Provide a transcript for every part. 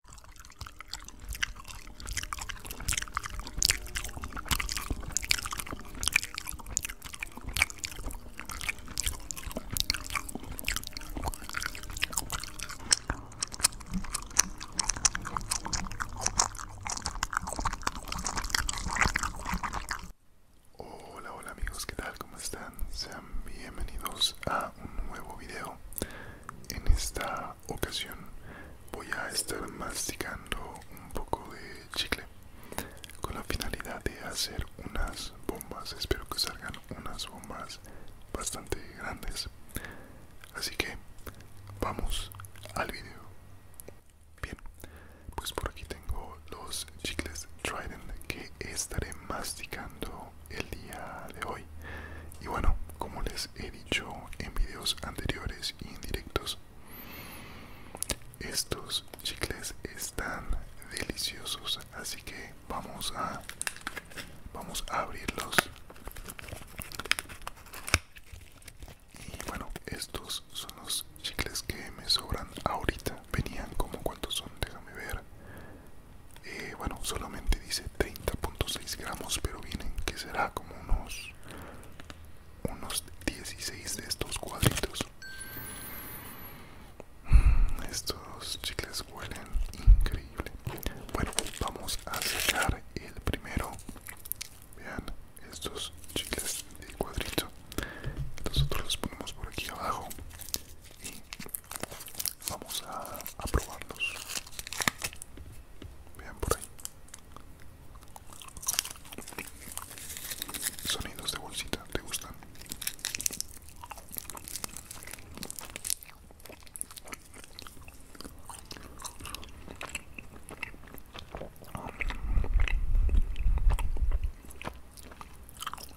Hola, hola amigos, ¿qué tal? ¿Cómo están? Sean bienvenidos a un nuevo video en esta ocasión voy a estar masticando un poco de chicle con la finalidad de hacer unas bombas. Espero que salgan unas bombas bastante grandes. Así que vamos al video. Bien, pues por aquí tengo los chicles Trident que estaré masticando el día de hoy. Y bueno, como les he dicho en videos anteriores y en directos, estos chicles están deliciosos, así que vamos a vamos a abrirlos. Y bueno, estos son los chicles que me sobran ahorita. Venían como cuántos son, déjame ver. Eh, bueno solamente dice 30.6 gramos pero vienen que será como unos unos 16 de estos cuadritos mm, estos chicles huelen increíble bueno vamos a sacar el primero vean estos chicles de cuadrito nosotros los ponemos por aquí abajo y Vamos a, probarlos. Vean por ahí. Sonidos de bolsita, ¿te gustan?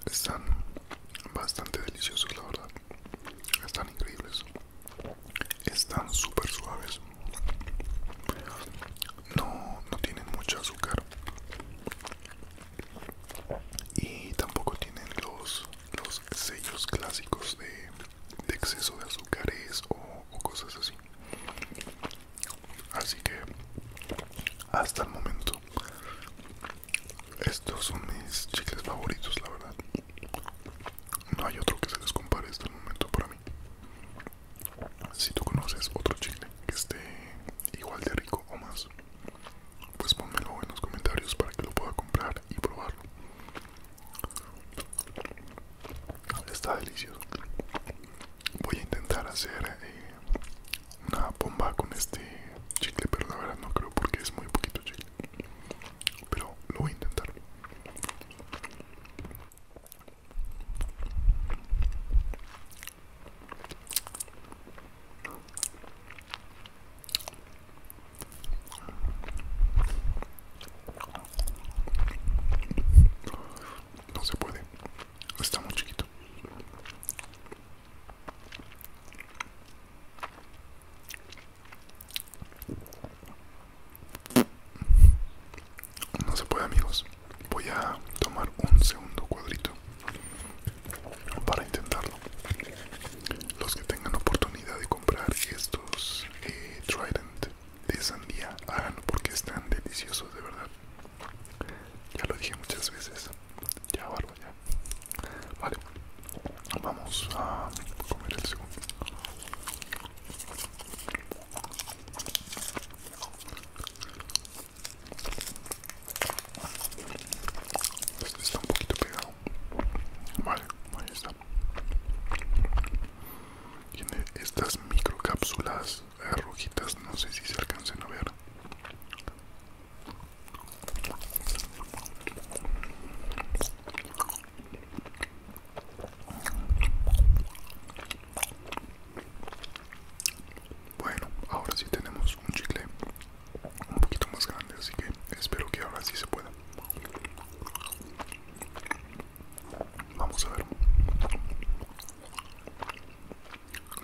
están bastante deliciosos la verdad están increíbles están súper suaves no, no tienen mucho azúcar y tampoco tienen los, los sellos clásicos de, exceso de azúcares o cosas así así que hasta el momento estos son mis chicles favoritos, la verdad. No hay otro que se les compare hasta este el momento para mí. Si tú conoces otro chicle que esté igual de rico o más, pues ponmelo en los comentarios para que lo pueda comprar y probarlo. Está delicioso. Voy a intentar hacer eh, una bomba con este chicle pero la verdad no creo porque es muy poquito chicle pero lo voy a intentar no se puede está muy chiquito no se puede amigos. Voy a tomar un segundo cuadrito para intentarlo. Los que tengan oportunidad de comprar estos eh, Trident de sandía, háganlo porque están deliciosos de verdad. Ya lo dije muchas veces. Ya, barba, ya. Vale, vamos a comer el segundo. Este está un poquito pegado. Vale, ahí está. Tiene estas microcápsulas eh, rojitas, no sé si se alcancen a ver. Bueno, ahora sí tenemos un chicle un poquito más grande, así que espero que ahora sí se pueda. Vamos a ver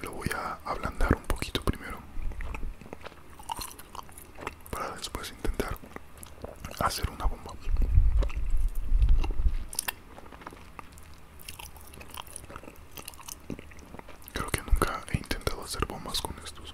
lo voy a ablandar un poquito primero para después intentar hacer una bomba creo que nunca he intentado hacer bombas con estos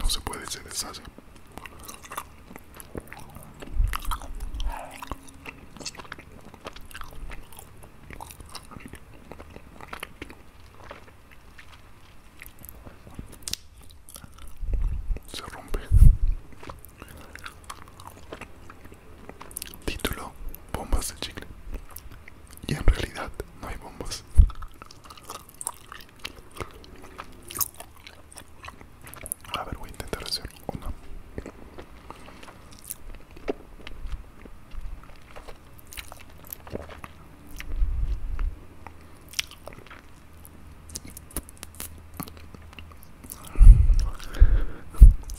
no se puede, ser deshace. Se rompe. Título, bombas de chicle. Y en realidad no hay bombas. A ver, voy a intentar hacer una.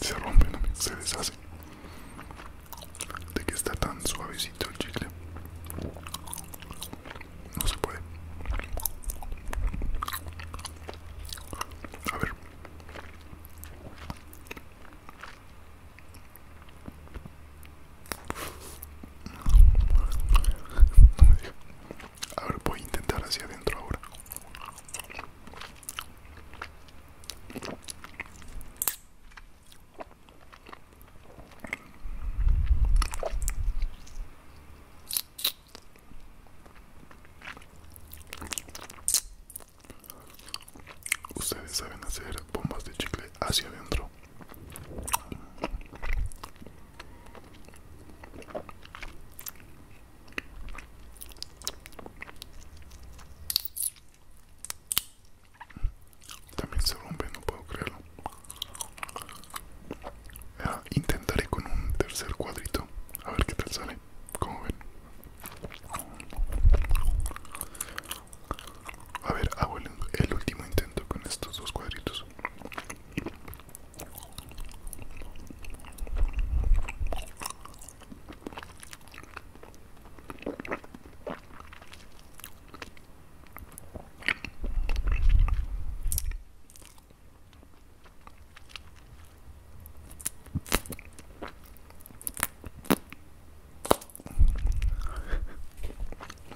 Se rompen, se deshace de que está tan suavecito el chicle no se puede a ver a ver voy a intentar hacia adentro ahora Ustedes saben hacer bombas de chicle hacia adentro. También se rompe, no puedo creerlo. Ah, intentaré con un tercer cuadrito. A ver qué tal sale. Como ven. A ver, hago el último intento con estos dos cuadritos.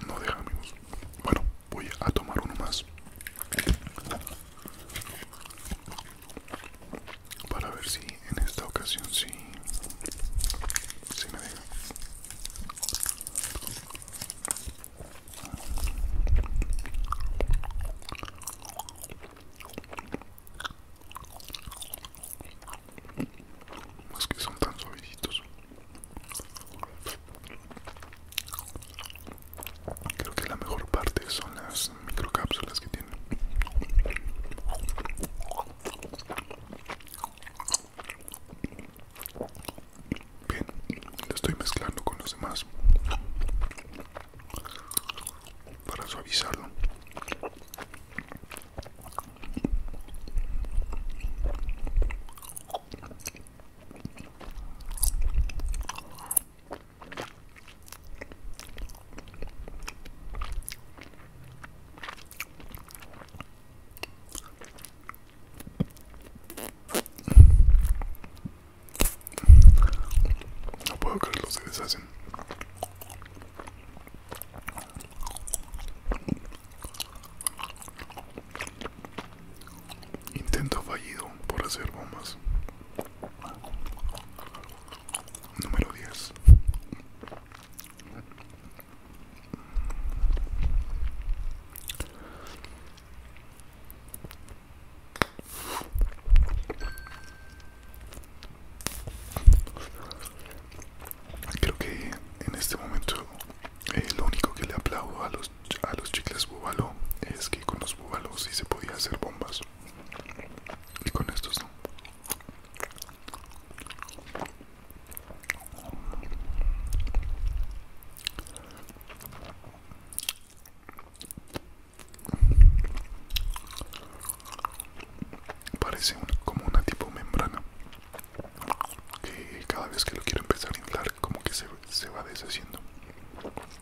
No deja amigos. Bueno, voy a tomar uno más para ver si en esta ocasión sí, me deja más que son tan suavecitos Creo que la mejor parte son las microcápsulas que tienen. Bien, lo estoy mezclando con los demás para suavizarlo. No puedo creerlo, se deshacen. Intento fallido por hacer bombas. Número 10. Creo que en este momento eh, lo único que le aplaudo a los a los chicles búvalo es que con los búbalos sí se podía hacer bombas y con estos no Parece como una tipo membrana que cada vez que lo quiero empezar a inflar como que se va deshaciendo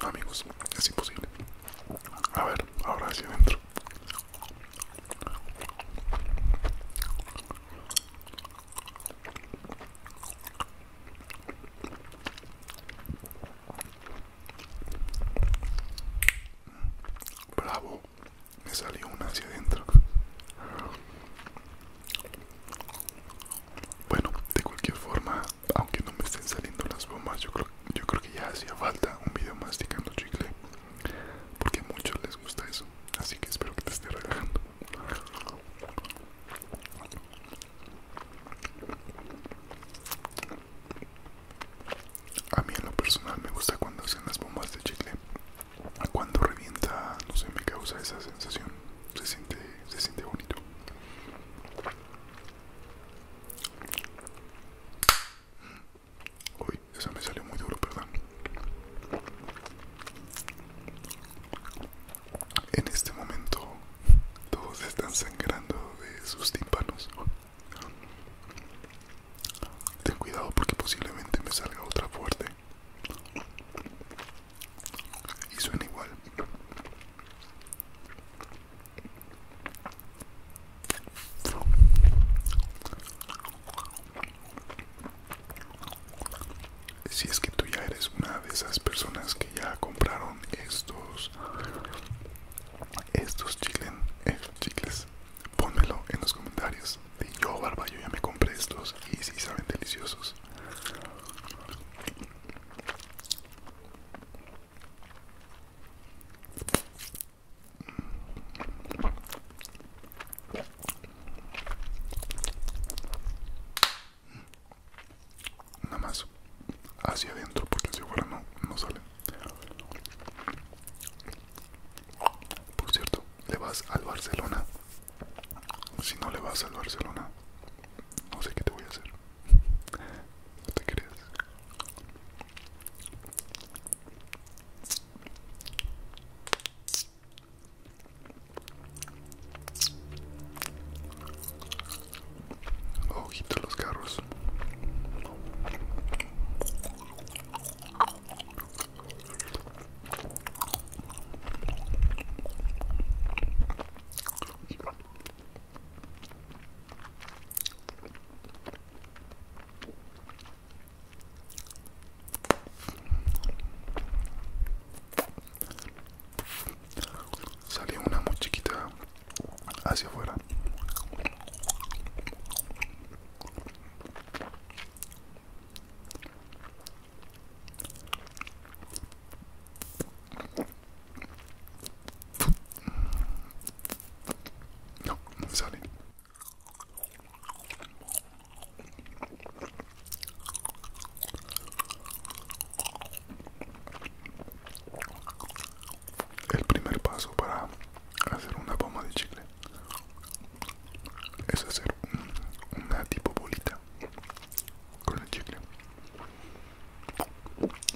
amigos, es imposible. A ver, ahora hacia adentro. Bravo, me salió una hacia adentro. Bueno, de cualquier forma, aunque no me estén saliendo las bombas yo creo, yo creo que ya hacía falta un video masticando chicle porque a muchos les gusta eso así que espero que te esté relajando a mí en lo personal me gusta cuando hacen las bombas de chicle cuando revienta no sé me causa esa sensación siente se siente bonito Uy, esa me salió muy duro, perdón. En este momento todos están sangrando de sus tímpanos. Ten cuidado porque posiblemente me salga otra fuerte y suena igual si es que tú ya eres una de esas personas que ya compraron estos estos eh, chicles, estos pónmelo en los comentarios de yo barba yo ya me compré estos y si saben deliciosos Nada más hacia adentro porque hacia afuera no, no sale. Por cierto, le vas al Barcelona. Si no le vas al Barcelona, no sé qué te voy a hacer. No te crees? Ojito los carros. Salió una muy hacia afuera. No, no El primer paso para hacer una bomba de chicle es hacer una tipo bolita con el chicle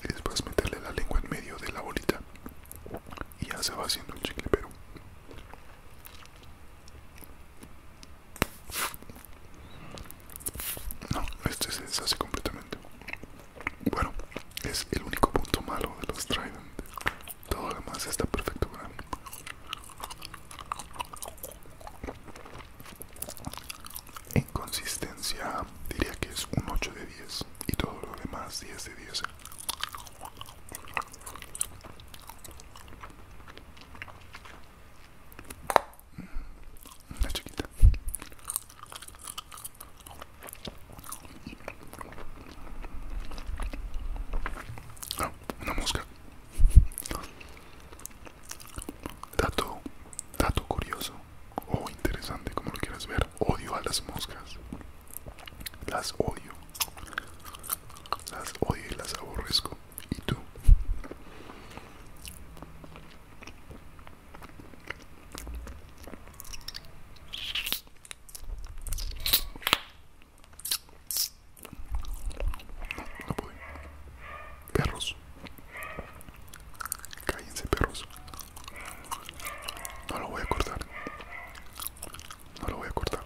y después meterle la lengua en medio de la bolita y ya se va haciendo el chicle pero no este se deshace completamente bueno es el único punto malo de los Trident todo lo demás está perfecto en consistencia diría que es un 8 de 10 y todo lo demás 10 de 10. Mm, una chiquita. Ah, una mosca. Dato, dato curioso o interesante, como lo quieras ver. Odio a las moscas. Las odio. Las odio y las aborrezco. ¿Y tú? No Perros. Cállense, perros. No lo voy a cortar. No lo voy a cortar.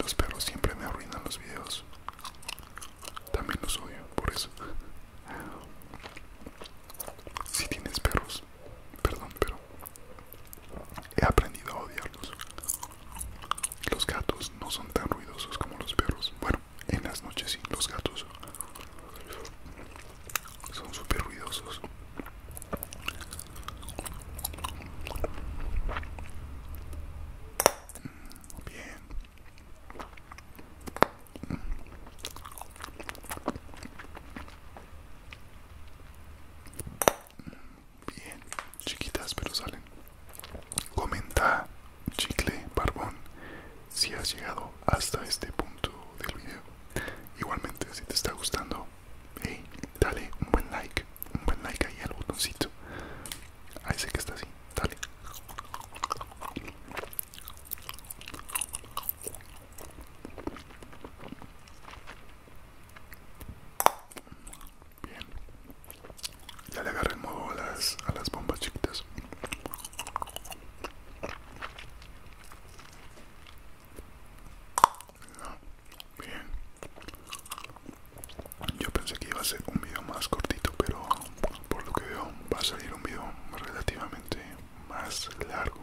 Los perros siempre me arruinan los videos. También los odio, por eso. Si tienes perros, perdón, pero He aprendido a odiarlos. Los gatos no son tan ruidosos como los perros. Bueno, en las noches sí, los gatos son súper ruidosos. Bien. Bien, chiquitas, pero salen. Comenta, chicle, barbón, si has llegado hasta este punto del video. Igualmente, si te está gustando, dale un buen like, un buen like ahí al botoncito. Ahí sé que está así, dale. Bien. Ya le agarré el modo a las, bombas chiquitas. Ah, bien. Yo pensé que iba a ser un video más cortito, pero por lo que veo va a salir un video relativamente más largo.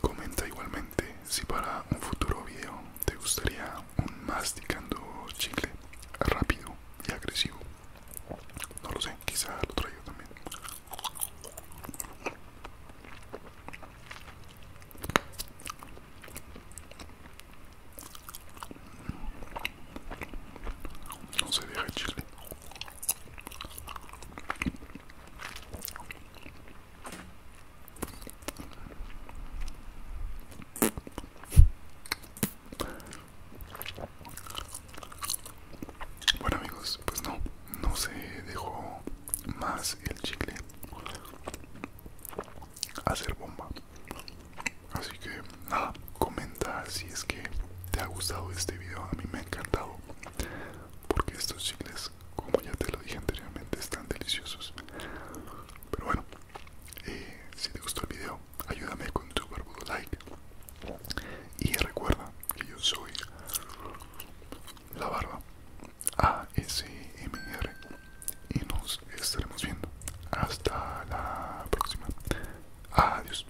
Comenta igualmente si para un futuro video te gustaría un masticando chicle rápido y agresivo. No lo sé, quizás lo traigo también. No se deja chile. Bueno amigos, pues no, no se dejó más el chicle hacer bomba así que nada comenta si es que te ha gustado este video a mí me ha encantado porque estos chicles como ya te lo dije anteriormente están deliciosos pero bueno eh, si te gustó el video ayúdame con tu barbudo like y recuerda que yo soy la barba a R y nos estaremos viendo. Hasta la próxima. Adiós.